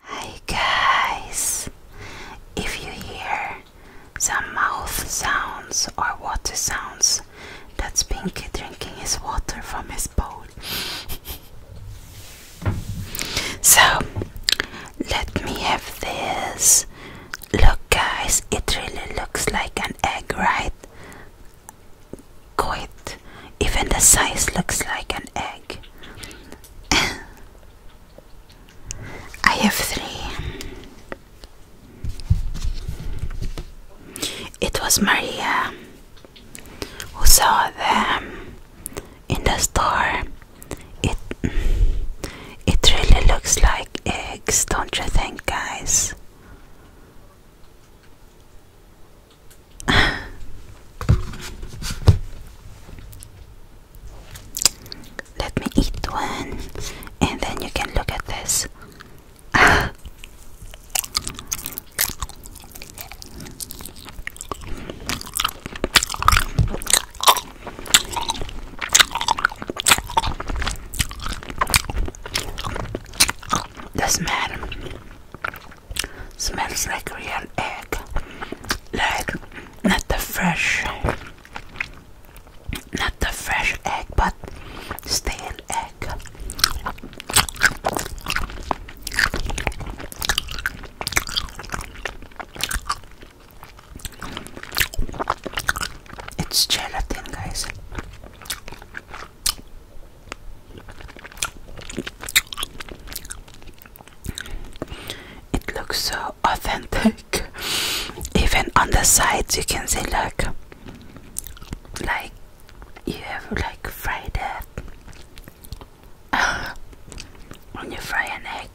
Hi guys! If you hear some mouth sounds or water sounds, that's Pinky drinking his water from his bowl. so, let me have this. Look, guys, it really looks like an egg, right? Quite even the size looks like an egg. I have three. It was Maria who saw them in the store. It it really looks like eggs, don't you think, guys? Let me eat one and then you can look at this. Doesn't Smells like real egg, like not the fresh, not the fresh egg, but stale egg. It's gelatin, guys. It looks so authentic. Even on the sides, you can see look, like you have like fried when you fry an egg,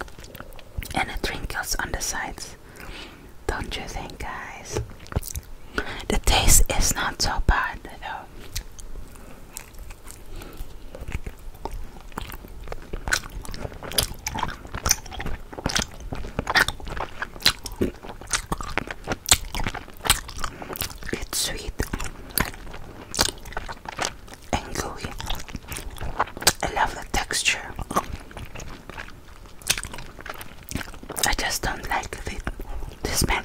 and it wrinkles on the sides, don't you think, guys? The taste is not so bad though. It's sweet and gooey. I love the texture. I just don't like this the smell.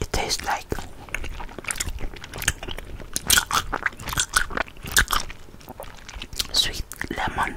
It tastes like sweet lemon.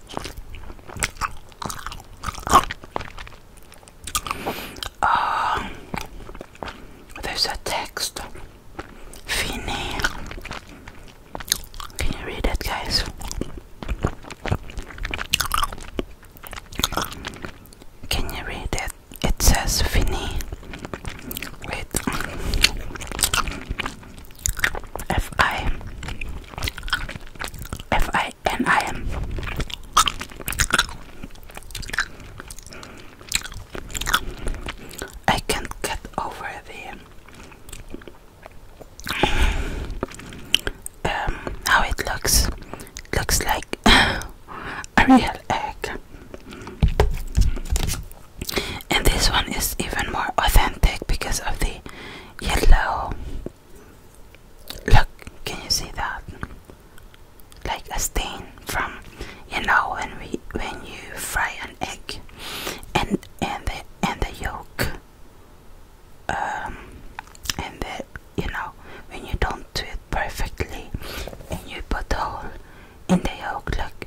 Uh, there's a text. Finny. Can you read it, guys? Can you read it? It says Finny. Wait. F I F I N I M. I can't get over the um, how it looks. looks like a real egg and this one is even more authentic because of the yellow. Look, can you see that? Like a stain from you know when we when you fry an egg and and the and the yolk um and the you know when you don't do it perfectly and you put the hole in the yolk look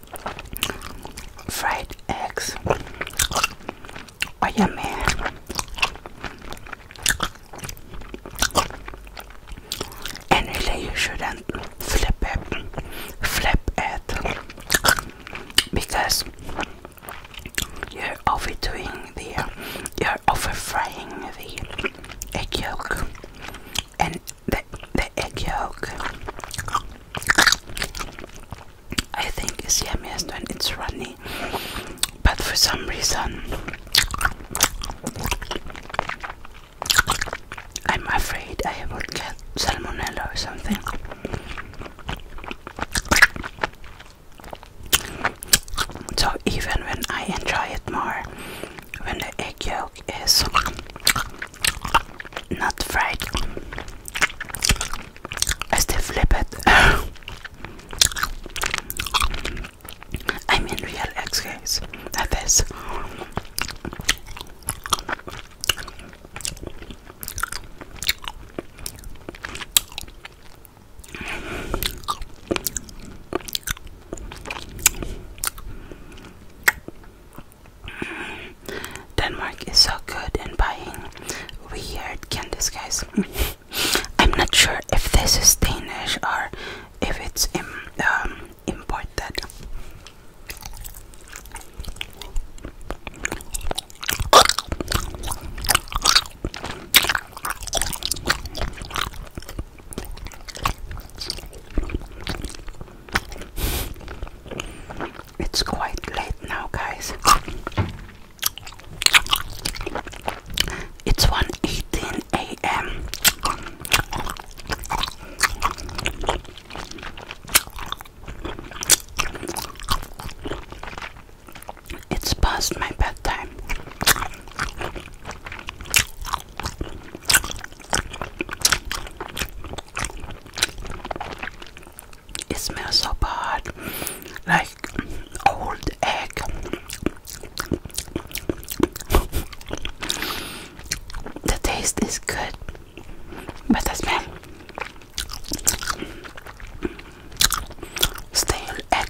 fried eggs. Oh, yeah, man. And really, you shouldn't flip it, flip it, because you're overdoing the, you're over frying the egg yolk and the, the egg yolk I think is yummiest when it's runny but for some reason I'm afraid I will get salmonella or something so even when I enjoy it more when the egg yolk milk is not fried. I still flip it. I am in real eggs, guys. That is. Denmark is so good in buying weird candies, guys. I'm not sure if this is Danish or if it's um, imported. It's quite late now, guys. It's 1:18 a.m. It's past my bedtime. It smells so bad, like old egg. The taste is good, but the smell stale egg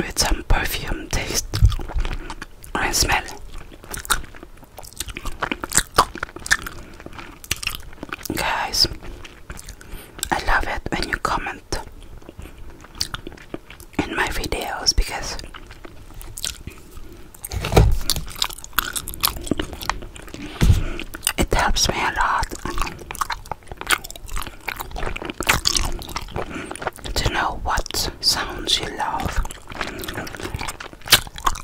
with some perfume taste and smell. Guys, I love it when you comment in my videos because it helps me a lot to know what sounds you love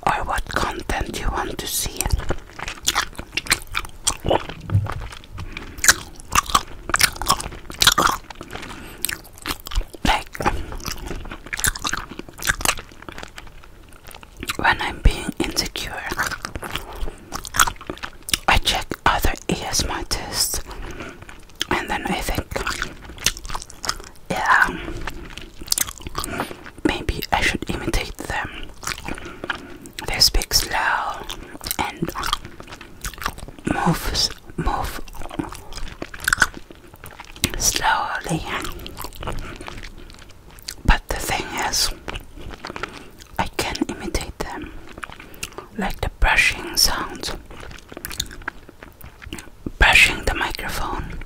or what content you want to see. Like when I'm being insecure, I check other ESMR and then I think, yeah, maybe I should imitate them. They speak slow and moves, move slowly. But the thing is, I can imitate them, like the brushing sounds, brushing the microphone,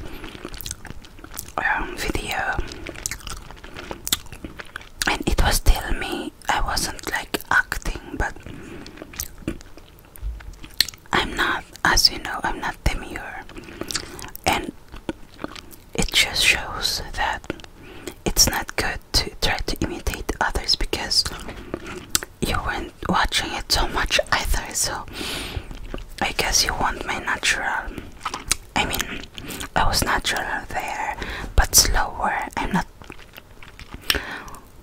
um, video, and it was still me. I wasn't like acting, but I'm not, as you know, I'm not demure, and it just shows that it's not good to try to imitate others because you weren't watching it so much either. So I guess you want my natural. I mean, I was natural there, but slower. I'm not.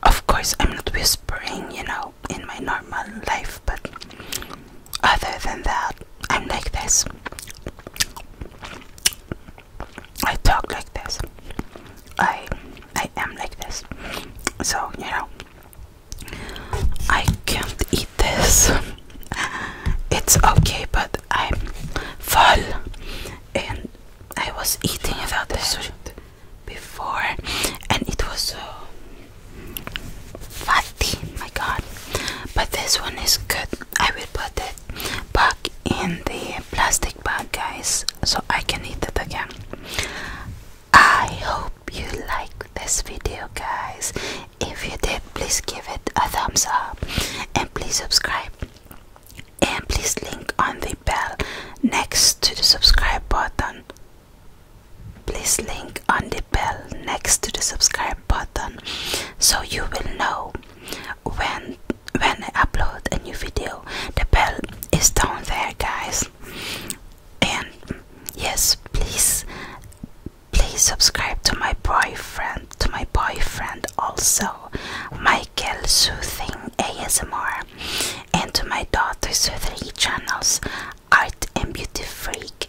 Of course, I'm not whispering, you know in my normal life, but other than that, I'm like this. I talk like this. I I am like this. So, you know, I can't eat this. It's okay, but I'm full and I was eating about this before and it was so fatty my god but this one is good i will put it back in the plastic bag guys so i can eat it again i hope you like this video guys if you did please give it a thumbs up and please subscribe and please link on the bell next to the subscribe button Please link on the bell next to the subscribe button so you will know when when I upload a new video. The bell is down there guys. And yes, please please subscribe to my boyfriend to my boyfriend also Michael Soothing ASMR and to my daughter's three channels Art and Beauty Freak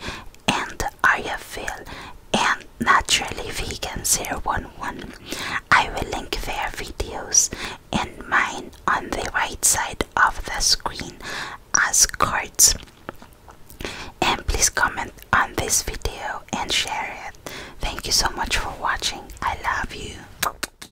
and Ariafil and Naturally Vegan 011. I will link their videos and mine on the right side of the screen as cards. And please comment on this video and share it. Thank you so much for watching. I love you.